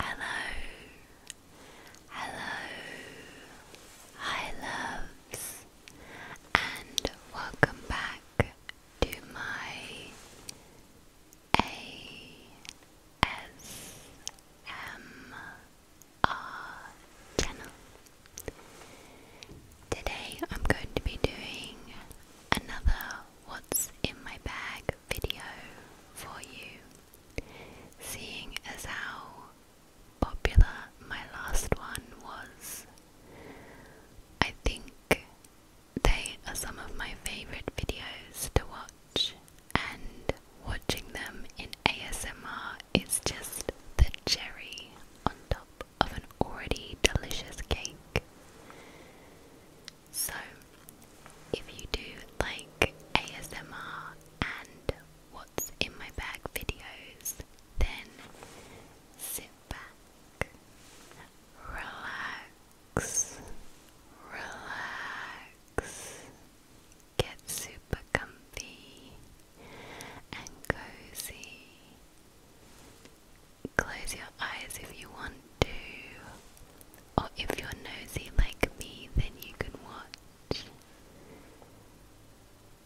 Hello, hello, hi loves, and welcome back to my ASMR channel. Today I'm going to be doing another What's in My Bag video for you. Seeing as how popular my last one was, I think they are some of my favorite videos to watch, and watching them in ASMR is just the cherry on top of an already delicious cake. So, if you do like ASMR and what's in my bag videos, then sit back, relax, relax, get super comfy and cozy. Close your eyes if you want to, or oh, if you're nosy like me, then you can watch.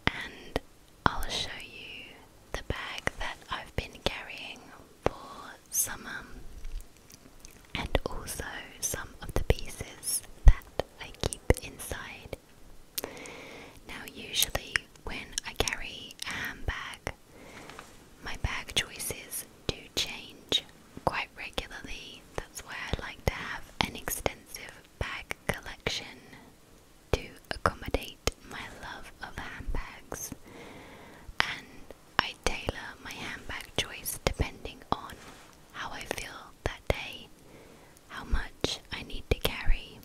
And I'll show you the bag that I've been carrying for summer and also some of the pieces that I keep inside. Now, usually when I carry a handbag, my bag choices do change quite regularly. That's why I like to have an extensive bag collection to accommodate my love of handbags. And I tailor my handbag choice depending on how I feel that day, how much I need to carry,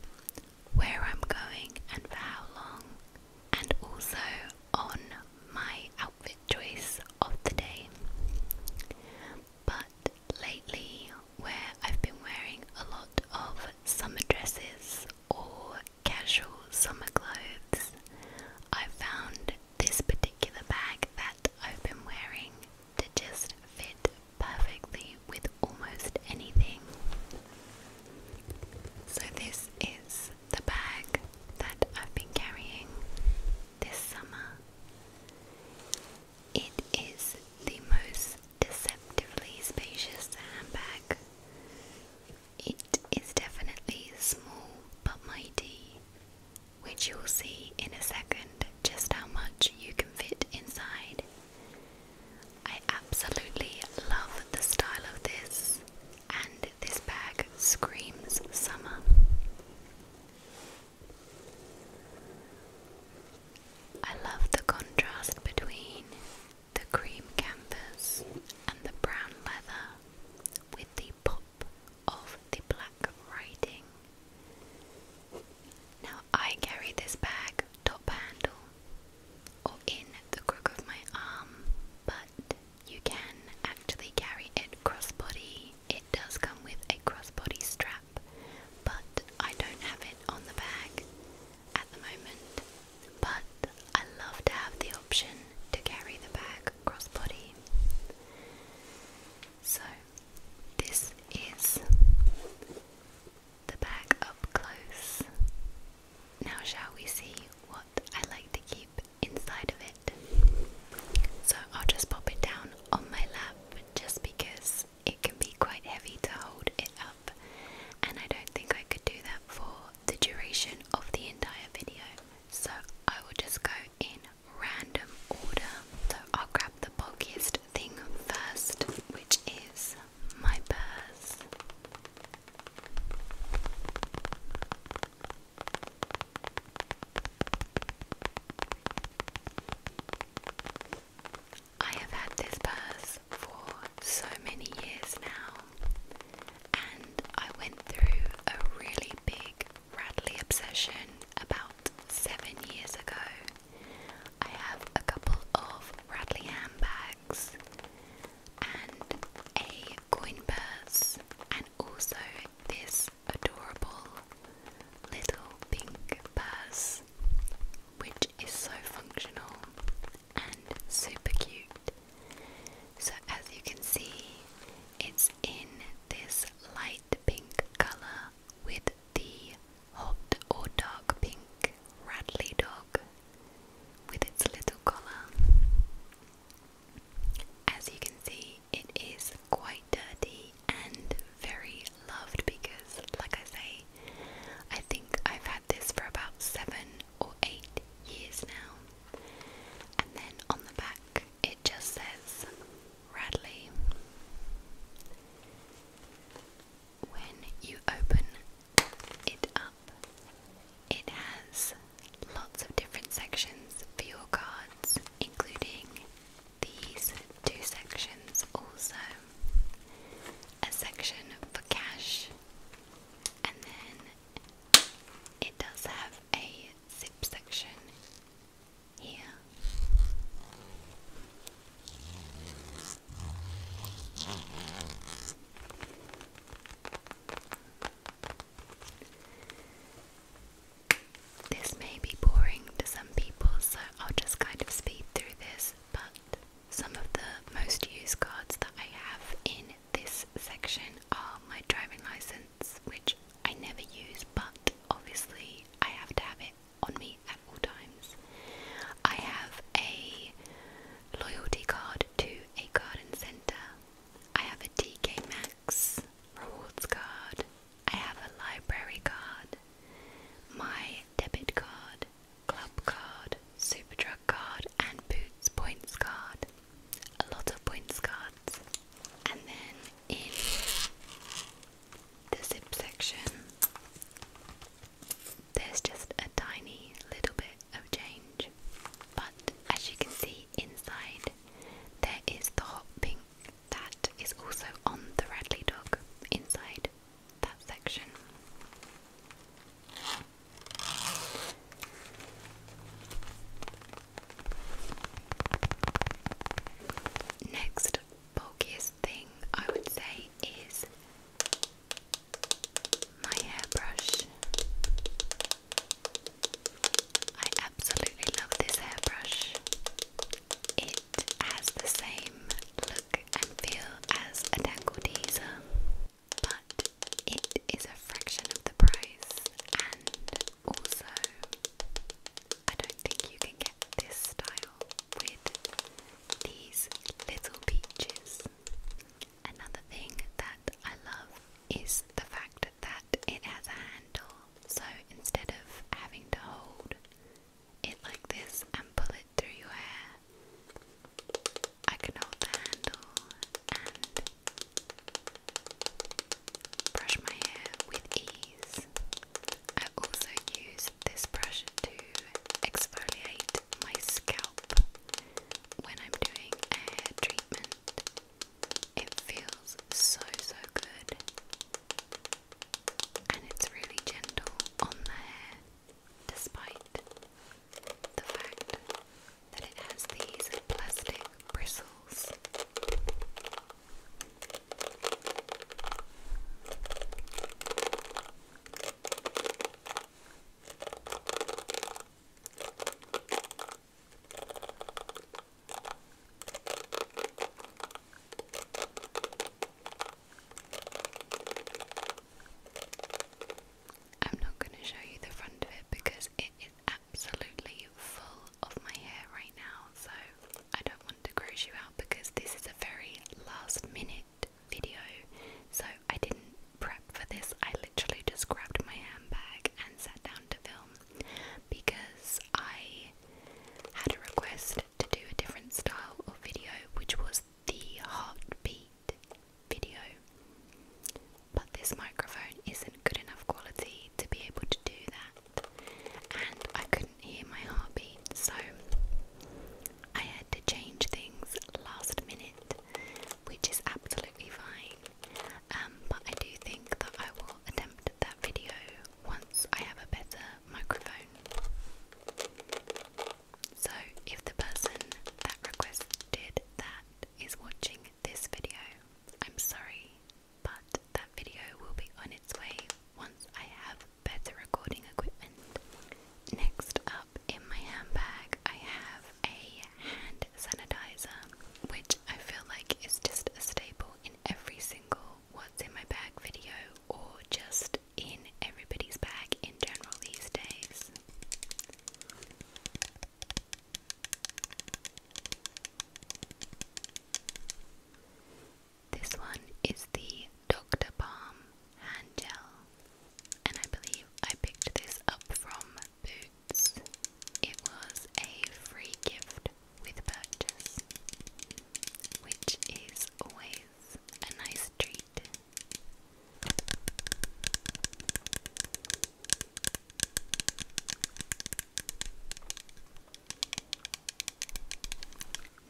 where I'm going, and for how long, and also on my outfit choice of the day. But lately, where I've been wearing a lot of summer dresses or casual summer clothes, I found this particular bag that I've been wearing to just fit perfectly with almost anything. So, this is the bag that I've been carrying this summer. It is the most deceptively spacious handbag. It is definitely small but mighty, which you'll see in a second just how much you can fit inside. I absolutely love the style of this and this bag screams summer. I love the contrast between the cream canvas and the brown leather with the pop of the black writing. Now I carry this bag top handle or in the crook of my arm, but you can actually carry it crossbody. It does come with a crossbody strap, but I don't have it on the bag at the moment. But I love to have the option to carry the bag crossbody. So, this is the bag up close now, shall we see what I like to keep inside of it? So, I'll just pop it down on my lap just because it can be quite heavy to hold it up, and I don't think I could do that for the duration of the entire video. So, I will just go in random order. So, I'll grab the bulkiest thing first, which is my purse. I have had this purse for so many years now, and I went through a really big Radley obsession about seven years ago. I have a couple of Radley handbags, and a coin purse, and also this adorable little pink purse, which is so functional and super cute. So, as you can see, it's in this light pink color with the hot or dark pink Radley dog with its little collar. As you can see, it is quite dirty and very loved because, like I say, I think I've had this for about seven or eight years now. And then on the back, it just says Radley. When you open it up, it has lots of different sections for your cards, including these two sections also. A section for cash, and then it does have a zip section here. This may be boring to some people, so I'll just kind of speed through this, but some of the most used cards that I have in this section are my driving license, which I never use, but obviously I have to have it on me at all times. I have a loyalty card to a garden centre, I have a TK Maxx rewards card. I have a library card. My debit card, club card, Superdrug card, and Boots points card. A lot of points cards. And then in the zip section, there's just a tiny little bit of change. But as you can see inside, there is the hot pink that is also on the Radley dog inside that section. Next bulkiest thing I would say is my hairbrush. I absolutely love this hairbrush. It has the same look and feel as a Tangle Teaser, but it is a fraction of the price, and also, I don't think you can get this style with these little peaches. Another thing that I love is the fact that it has a handle, so instead of having to hold it like this and pull it through your hair, I can hold the handle and brush my hair with ease. I also use this brush to exfoliate my scalp when I'm doing a hair treatment. It feels so, so good. And it's really gentle on the hair, despite the fact that it has these plastic bristles. I'm not going to show you the front of it because it is absolutely full of my hair right now, so I don't want to gross you out because this is a very last minute video, so I didn't prep for this. I literally just grabbed my handbag and sat down to film because I had a request to do a different style of video, which was the heartbeat video. But this microphone isn't good enough quality to be able to do that, and I couldn't hear my heartbeat, so I had to change things last minute which is absolutely fine. Um, but I do think that I will attempt that video once I have a better microphone. So, if the person that requested that is watching this video, I'm sorry, but that video will be on its way once I have better recording equipment. Next up, in my handbag, I have a hand sanitizer, which I feel like is just a staple in every single what's in my bag video or just in everybody's bag in general these days. This one is the Dr. Palm Hand Gel and I believe I picked this up from Boots. It was a free gift with purchase, which is always a nice treat.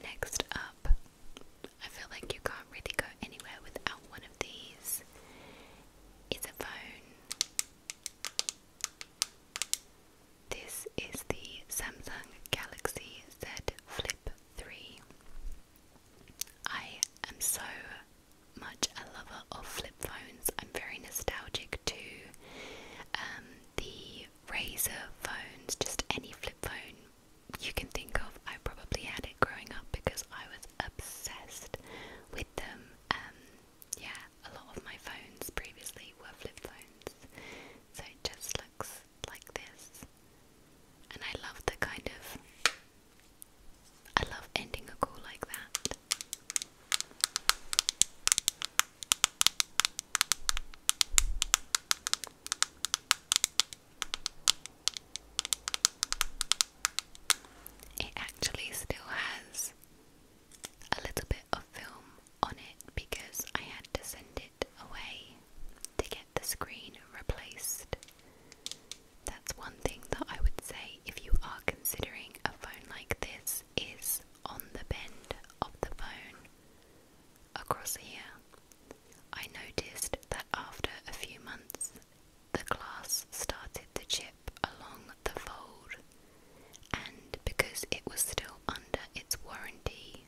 Next up I feel like you can't really go anywhere without one of these. It's a phone. This is the Samsung Galaxy Z Flip 3. I am so much a lover of flip phones. I'm very nostalgic to um, the Razer phones, just any flip phone you can think of. I probably had it growing up because I was obsessed with them. Um, yeah, a lot of my phones previously were flip phones, so it just looks like this. And I love the kind of. I love ending a call like that. It actually still has a little bit of film on it because I had to send it away to get the screen replaced. That's one thing that I would say if you are considering a phone like this is on the bend of the phone across here. I noticed that after a few months the glass started to chip along the fold, and because it was still under its warranty,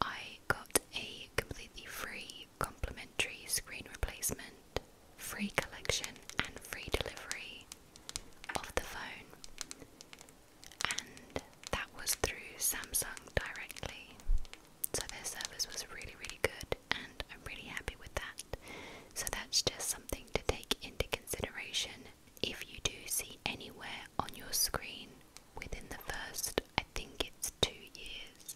I got a completely free complimentary screen replacement, free collection, and free delivery of the phone. And that was through Samsung directly. So their service was really, really good, and I'm really happy with that. So that's just something to take into consideration if you do see anywhere on your screen within the first, I think it's two years.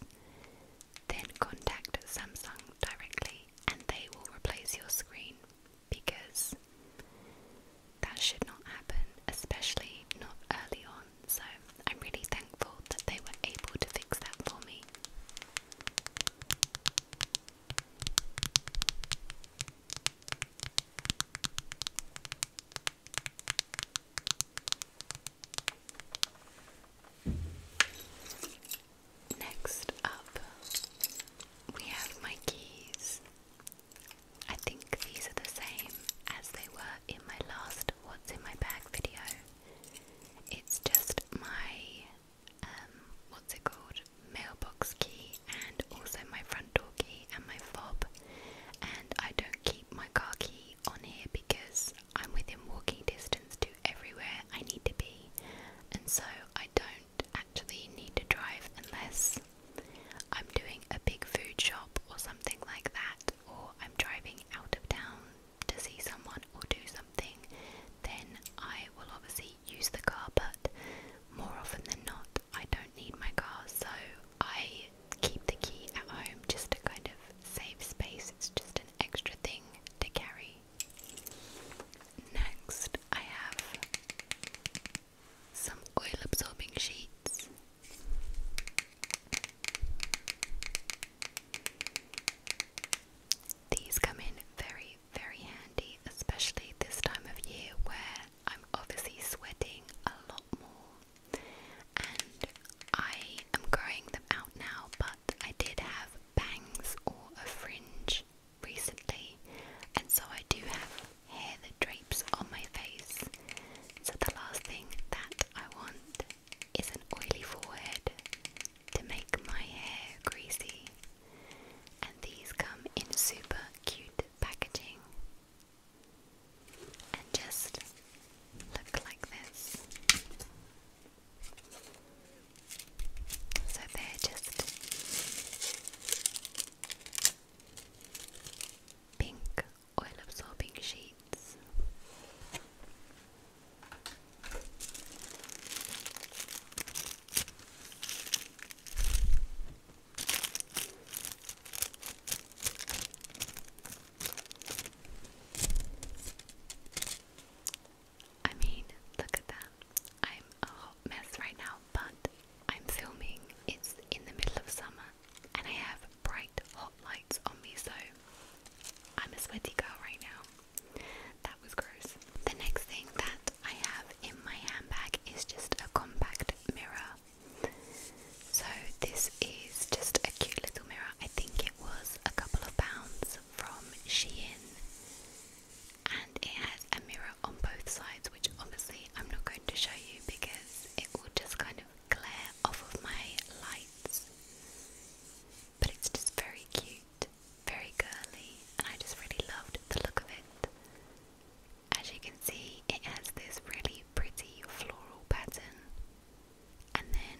Then contact Samsung directly and they will replace your screen because that should not happen, especially not early on so I'm really thankful that they were able to fix that for me. Next up, we have my keys. I think these are the same as they were in my last What's in My Bag video. It's just my um, what's it called? Mailbox key and also my front door key and my fob. And I don't keep my car key on here because I'm within walking distance to everywhere I need to be. And so I don't actually need to drive unless I'm doing a big food shop or something like that or I'm driving out of town to see someone or do something, then I will obviously use the car, but more often than not, I don't need my car, so I keep the key at home just to kind of save space. It's just an extra thing to carry. Next, I have some oil absorbing sheets. These come in very, very handy, especially this time of year where I'm obviously sweating a lot more. And I am growing them out now, but I did have bangs or a fringe recently, and so I do have hair that drapes on my face. So the last thing that I want is an oily forehead to make my hair greasy, and these come in super cute packaging and just look like this. So they're just pink oil absorbing sheets. I mean, look at that. I'm a hot mess right now, but I'm filming. It's in the middle of summer, and I have bright hot lights on me, so I'm a sweaty girl right now. That was gross. The next thing that I have in my handbag is just a compact mirror. So this is just a cute little mirror. I think it was a couple of pounds from Shein. And it has a mirror on both sides, which obviously I'm not going to show you because it will just kind of glare off of my lights. But it's just very cute, very girly, and I just really loved the look of it. As you can see, it has this really pretty floral pattern. And then,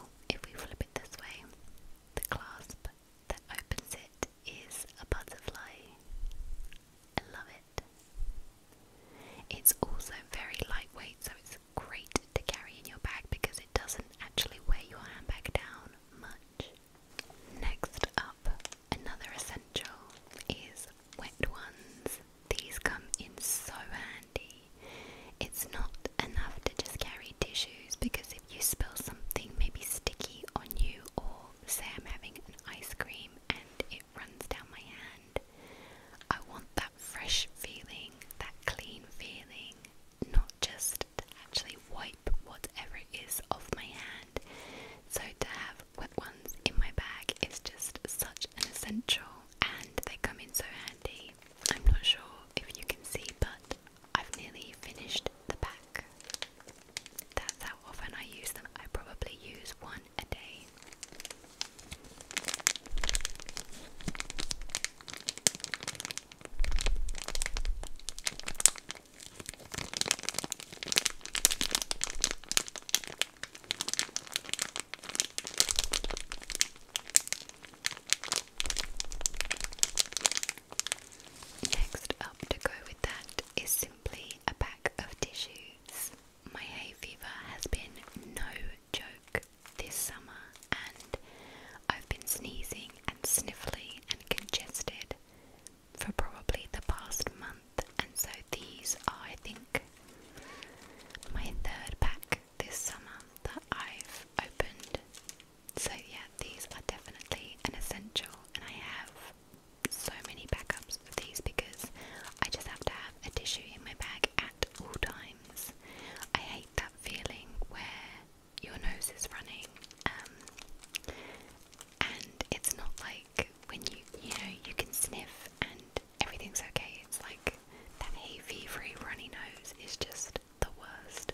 oh, if we flip it this way, the clasp that opens it is a butterfly. I love it. It's also very lightweight, so it's great to carry in your bag because it doesn't actually weigh your handbag down much. Next up, another essential is wet ones. These come in so handy. It's not enough to just carry tissues because if you spill something maybe sticky on you, or say I'm having an ice cream and it runs down my hand, I want that fresh feeling, that clean feeling, not just to actually wipe whatever it is off my hand. So to have wet ones in my bag is just such an essential and they come in so handy. I'm not sure if you can see but I've nearly finished the pack. That's how often I use them. I probably use one a day. Next up to go with that is simply a pack of tissues my hay fever has been no joke this summer, and I've been sneezing and sniffly and congested for probably the past month, and so these are, I think, my third pack this summer that I've opened. So, yeah, these are definitely an essential, and I have so many backups of these because I just have to have a tissue in my bag at all times. I hate that feeling where your nose is running, um, and it's not like when you you know you can sniff and everything's okay. It's like that hay fevery runny nose is just the worst.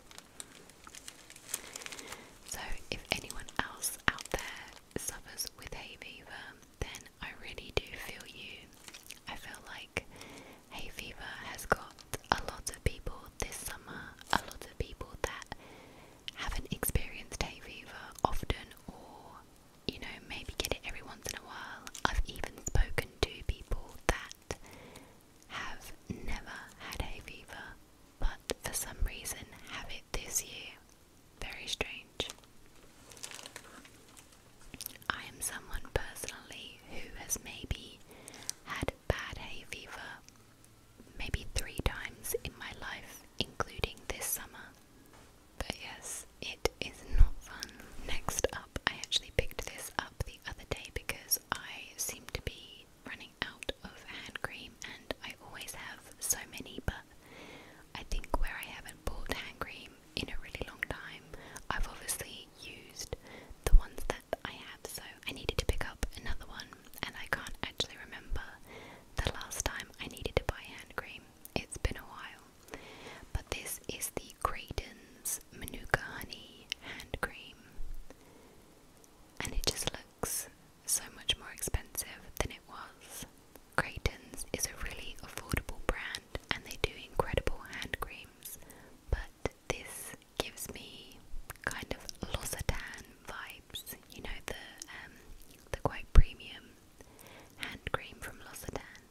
So if anyone else out there suffers with hay fever, then I really do feel you. I feel like hay fever has got a lot of people this summer, a lot of people that haven't experienced hay fever often or you know, maybe get it every once in a while. I've even spoken to people that have never had hay fever, but for some reason have it this year. Very strange. I am someone personally who has maybe had bad hay fever maybe three times in my life, including this summer. But yes, it is not fun. Next up, I actually picked this up the other day because I seem to be running out of hand cream and I always have so many, but I think where I haven't bought hand cream in a really long time. I've obviously used the ones that I have, so I needed to pick up another one, and I can't actually remember the last time I needed to buy hand cream. It's been a while. But this is the Graydon's Manuka Honey Hand Cream, and it just looks so much more expensive than it was Craytons is a really affordable brand and they do incredible hand creams, but this gives me kind of L'Occitane vibes. You know the um, the quite premium hand cream from L'Occitane.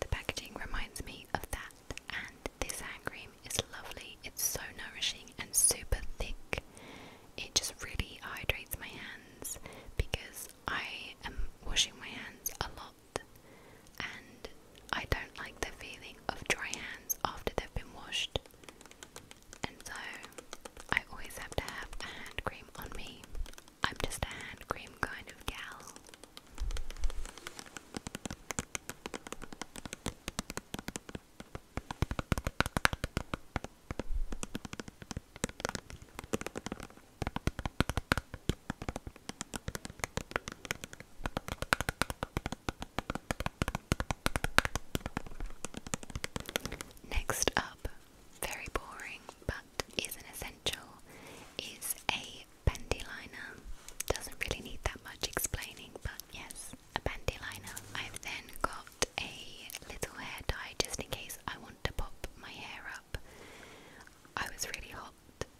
The packaging reminds me of that, and this hand cream is lovely. It's so nourishing and super thick. It just really hydrates my hands because I am washing my hands a lot and I don't like the feeling of dry hands after they've been washed. And so I always have to have hand cream on me. I'm just a hand cream kind of gal. Next up, very boring but is an essential, is a bandy liner. Doesn't really need that much explaining, but yes, a bandy liner. I've then got a little hair dye just in case I want to pop my hair up. I was really hot.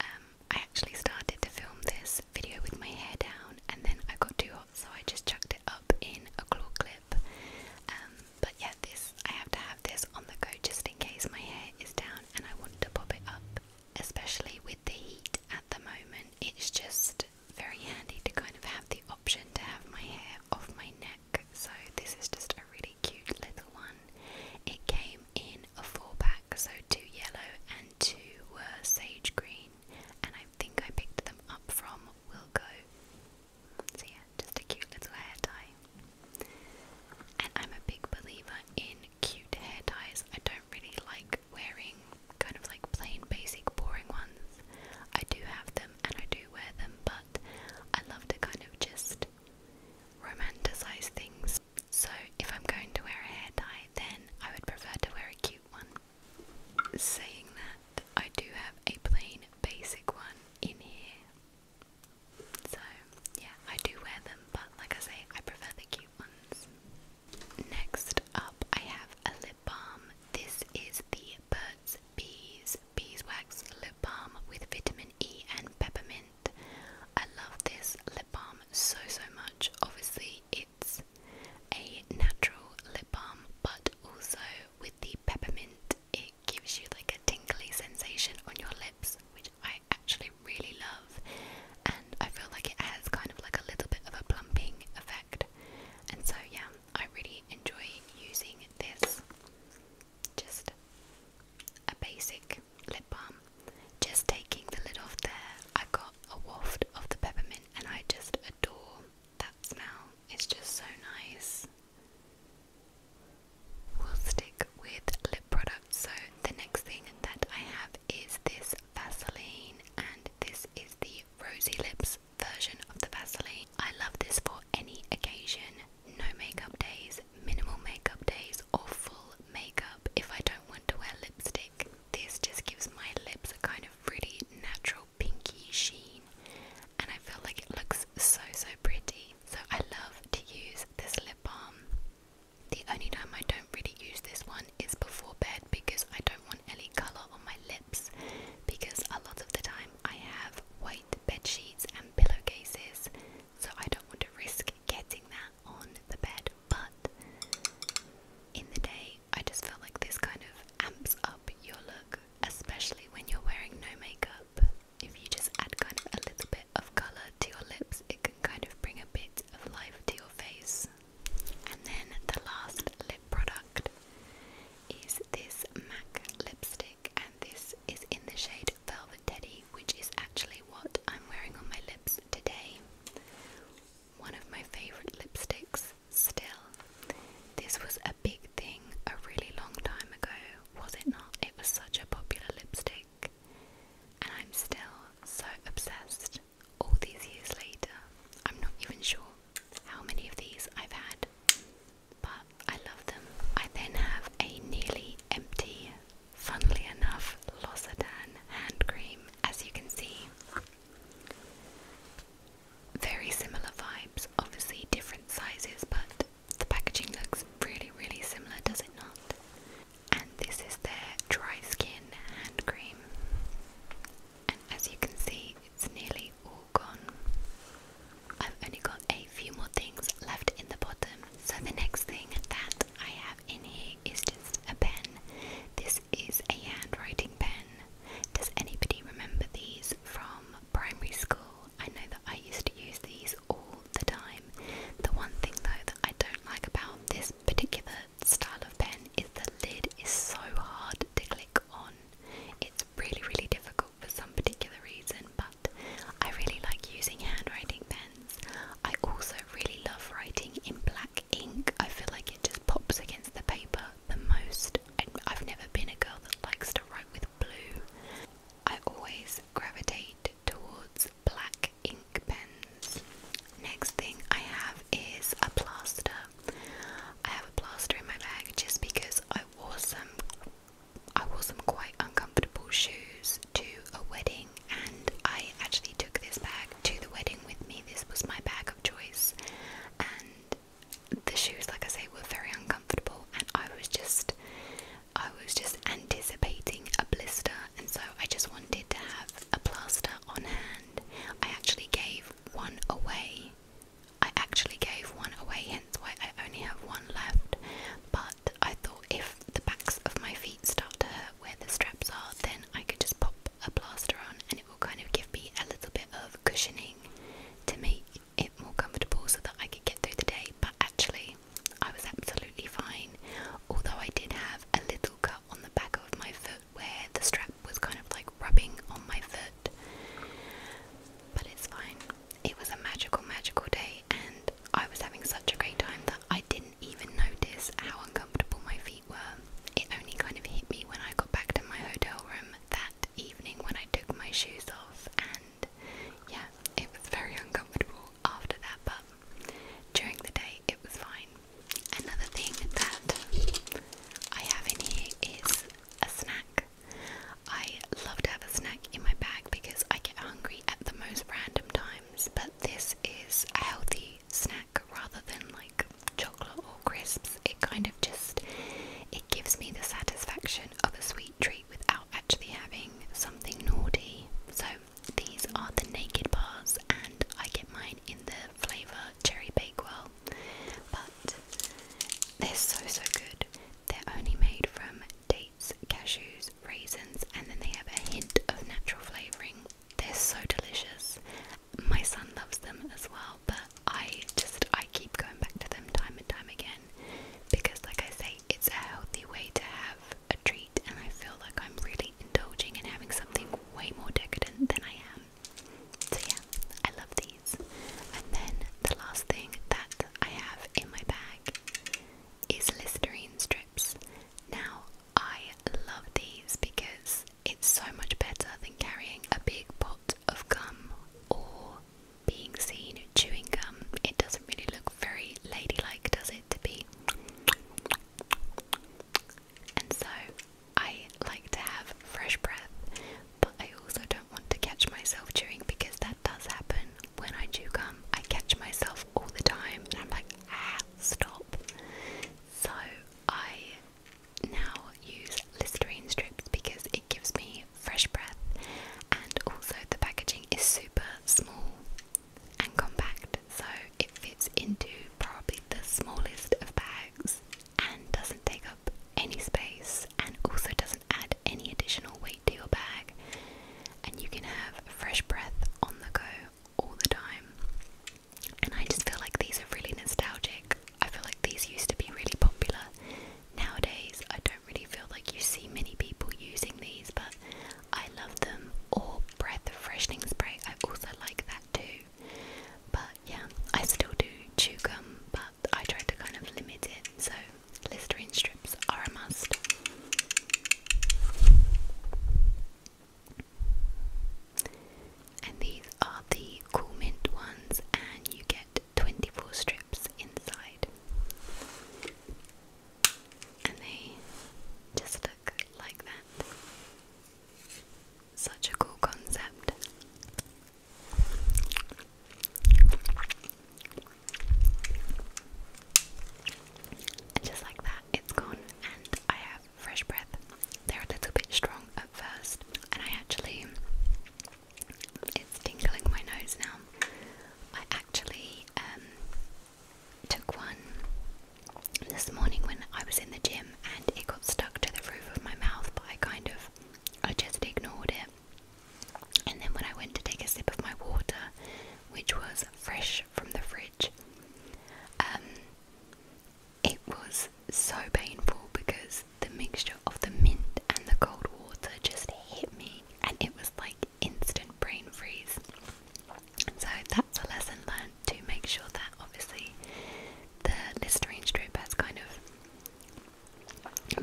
Um, I actually started to film this video with my hair down, and then I got too hot, so I just chucked it up in a claw clip. Um, but yeah, this I have to have this on the go just in case my hair is down and I want to pop it up. Especially with the heat at the moment, it's just very handy to kind of have the option to have my hair off my neck. So this is just a really cute little one. It came in a four pack, so two yellow and two were uh, sage green, and I think I picked them up from Wilco. So, yeah, just a cute little hair tie. And I'm a big believer in cute hair ties. I don't really like wearing kind of like plain, basic, boring ones. I do have them and I do wear them, but I love to kind of just romanticize things. So if I'm going to wear a hair dye, then I would prefer to wear a cute one. Saying that, I do have a plain basic one in here. So, yeah, I do wear them, but like I say, I prefer the cute ones. Next up, I have a lip balm. This is the Bird's bees, beeswax lip balm with vitamin E and peppermint. I love this lip balm so so much. Obviously, it's a natural lip balm, but also with the peppermint, it gives you like a tingly sensation on your lips, which I actually really love. And I feel like it has kind of like a little bit of a plumping effect. And so, yeah, I really enjoy using this just a basic lip balm. Just taking the lid off there, I got a waft of the peppermint, and I just adore that smell. It's just so nice. We'll stick with lip products. So, the next thing that I have is this Vaseline, and this is the Rosy Lips version of the Vaseline. I love this for any occasion. No makeup days, minimal makeup days, or full makeup if I don't want to wear lipstick. This just gives my lips a kind of really natural pinky sheen, and I feel like it looks so so pretty. So I love to use this lip balm. The only time I don't really use this one is before bed because I don't want any colour on my lips because a lot of the time I have white bed sheets and pillowcases, so I don't want to risk getting that on the bed. But in the day, I just feel like this kind of amps up your look, especially when you're wearing no makeup. If you just add kind of a little bit of colour to your lips, it can kind of bring a bit of life to your face. And then the last lip product is this MAC lipstick and this is in the shade Velvet Teddy, which is actually what I'm wearing on my lips today. One of my favourite lipsticks, still. This was a big thing a really long time ago, was it not? It was such a popular lipstick, and I'm still so obsessed all these years later. I'm not even sure how many of these I've had, but I love them. I then have a nearly empty, funnily enough, L'Occitane hand cream, as you can see. Very similar vibes, obviously different sizes, but the packaging looks really, really similar, does it not? And this is their dry skin hand cream. And as you can see, it's nearly all gone. I've only got a few more things left in the bottom. So the next thing that I have in here is just a pen. This is a handwriting pen. Does anybody remember these from primary school? I know that I used to use these all the time. The one thing though that I don't like about this particular style of pen is the lid is so hard to click on. It's really, really difficult for some particular reason, but I really like using handwriting pens. I also really love writing in black ink. I feel like it just pops against the paper the most. I've never been a girl that likes to write with blue. I always gravitate towards black ink pens. Next thing I have is a plaster I have a plaster in my bag just because I wore some I wore some quite uncomfortable shoes to a wedding and I actually took this bag to the wedding with me. This was my bag of choice and the shoes like I say were very uncomfortable and I was just I was just anticipating a blister and so I just wanted to have a plaster on hand. I actually gave one away I actually gave one away, hence why I only have one left. But I thought if the backs of my feet start to hurt where the straps are, then I could just pop a plaster on and it will kind of give me a little bit of cushioning to make it more comfortable so that I could get through the day. But actually, I was absolutely fine, although I did have a little cut on the back of my foot where the strap was kind of like rubbing on my foot but it's fine. It was a magical, magical day, and I was having such a great time that I didn't even notice how uncomfortable my feet were. It only kind of hit me when I got back to my hotel room that evening when I took my shoes off, and yeah, it was very uncomfortable after that, but during the day it was fine. Another thing that I have in here is a snack. I love to have a snack in my bag because I get hungry at the most random times, but this is a healthy snack rather than like chocolate or crisps. It kind of just it gives me the satisfaction of a sweet treat without actually having something naughty. So these are the naked bars and I get mine in the flavour cherry bakewell. But they're so so good. They're only made from dates, cashews, raisins, and then they have a hint of natural flavoring. They're so delicious. My son loves them as well, but I just I keep going back to them time and time again because like I say, it's a healthy way to have a treat and I feel like I'm really indulging in having something way more decadent than I am. So yeah, I love these. And then the last thing that I have in my bag is Listerine strips. Now, I love these because it's so much better than carrying a big pot of gum or being seen chewing gum. It doesn't really look very ladylike, does it, to be? And so I like to have fresh breath, but I also don't want to catch myself chewing because that does happen. When I do gum, I catch myself all the time and I'm like, ah, stop. So I now use Listerine strips because it gives me fresh breath and also the packaging is super small and compact so it fits into probably the smallest of bags and doesn't take up any space and also doesn't add any additional weight to your bag. And you can have fresh breath on the go all the time. And I just feel like these are really nostalgic. I feel like these used to be really popular. Nowadays, I don't really feel like you see many people using these, but I love them. Or breath freshening spray, I also like that too. But yeah, I still do chew gum, I try to kind of limit it, so Listerine strips are a must. And these are the Cool Mint ones, and you get 24 strips inside. And they just look like that. Such a cool concept just like that, it's gone, and I have fresh breath. They're a little bit strong at first, and I actually. It's tingling my nose now. I actually um, took one this morning when I was in the gym and it got stuck to the roof of my mouth, but I kind of I just ignored it. And then when I went to take a sip of my water, which was fresh from the fridge, um, it was so painful because the mixture of the mint and the cold water just hit me and it was like instant brain freeze. So that's a lesson learned to make sure that obviously the Listerine strip has kind of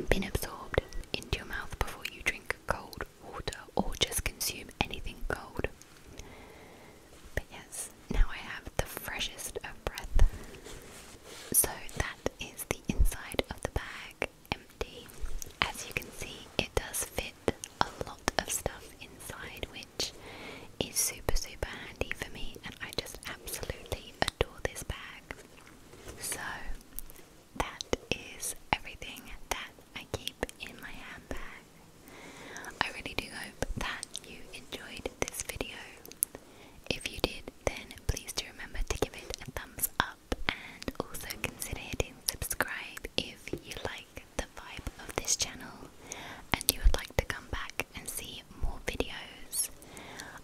been absorbed into your mouth before you drink cold water or just consume anything cold. But yes, now I have the freshest of breath. So that is the inside of the bag empty. As you can see, it does fit a lot of stuff inside, which is super, super handy for me, and I just absolutely adore this bag. So, that is everything that I keep in my handbag. I really do hope that you enjoyed this video. If you did, then please do remember to give it a thumbs up and also consider hitting subscribe if you like the vibe of this channel and you would like to come back and see more videos.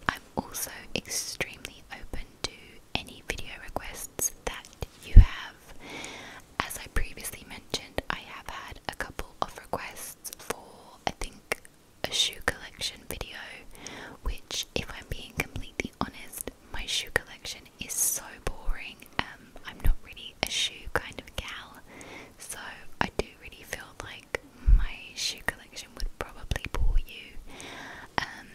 I'm also extremely open to any video requests that you have. As I previously mentioned, I have had a couple of requests for, I think, a shoe collection video, which, if I'm being completely honest, my shoe collection is so boring. Um, I'm not really a shoe kind of gal, so I do really feel like my shoe collection would probably bore you. Um,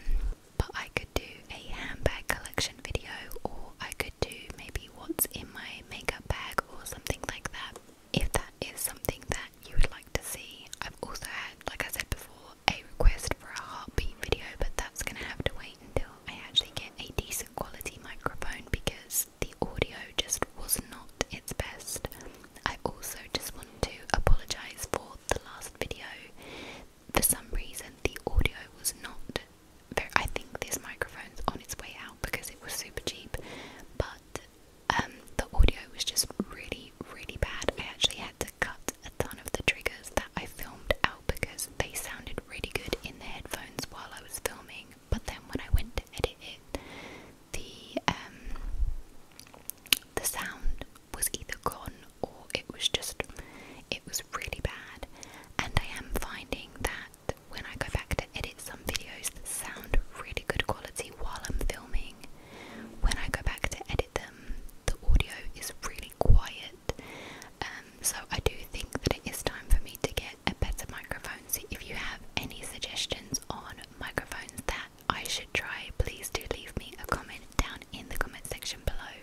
but I could do a handbag collection video, or I could do maybe what's in my makeup bag or something like that. If that is something that you would like to see, I've also had, like I said before, a request for a heartbeat video, but that's gonna have to wait until I actually get a decent quality microphone because the audio just was not its best. I also just wanted to apologise for the last video. For some reason, the audio was not. Very, I think this microphone's on its way out because it was super cheap, but um, the audio was just really, really bad. I actually had to cut a ton of the triggers that I filmed out because they sounded really good in the headphones while I was filming, but then when I went to edit it, the um, the sound was either gone or it was just it was really bad. And I am finding that when I go back to edit some videos that sound really good quality while I'm filming, when I go back to edit them, the audio is really quiet. Um, so I do think that it is time for me to get a better microphone. So if you have any suggestions on microphones that I should try, please do leave me a comment down in the comment section below.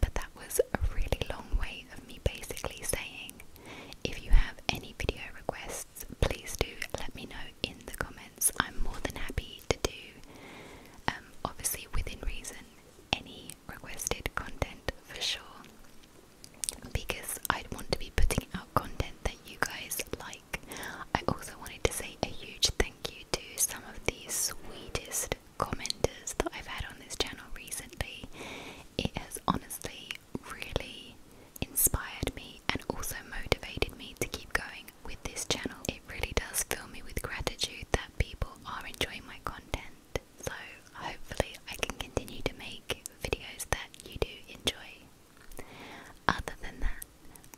But that was a really long way of me basically saying if you have any video requests, please do let me know in the comments. I'm more than happy to do, um, obviously within reason, any requested content for sure because i want to be putting out content that you guys like. I also wanted to say a huge thank you to some of the sweetest commenters that I've had on this channel recently. It has honestly really inspired me and also motivated me to keep going with this channel. It really does fill me with gratitude that people are enjoying my content. So hopefully I can continue to make videos that you do enjoy. Other than that,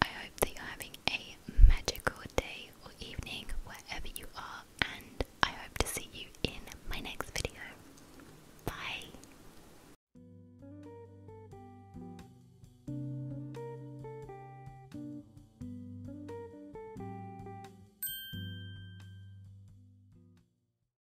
I hope that you're having a magical day or evening wherever you are, and I hope to see you in my next video. Bye!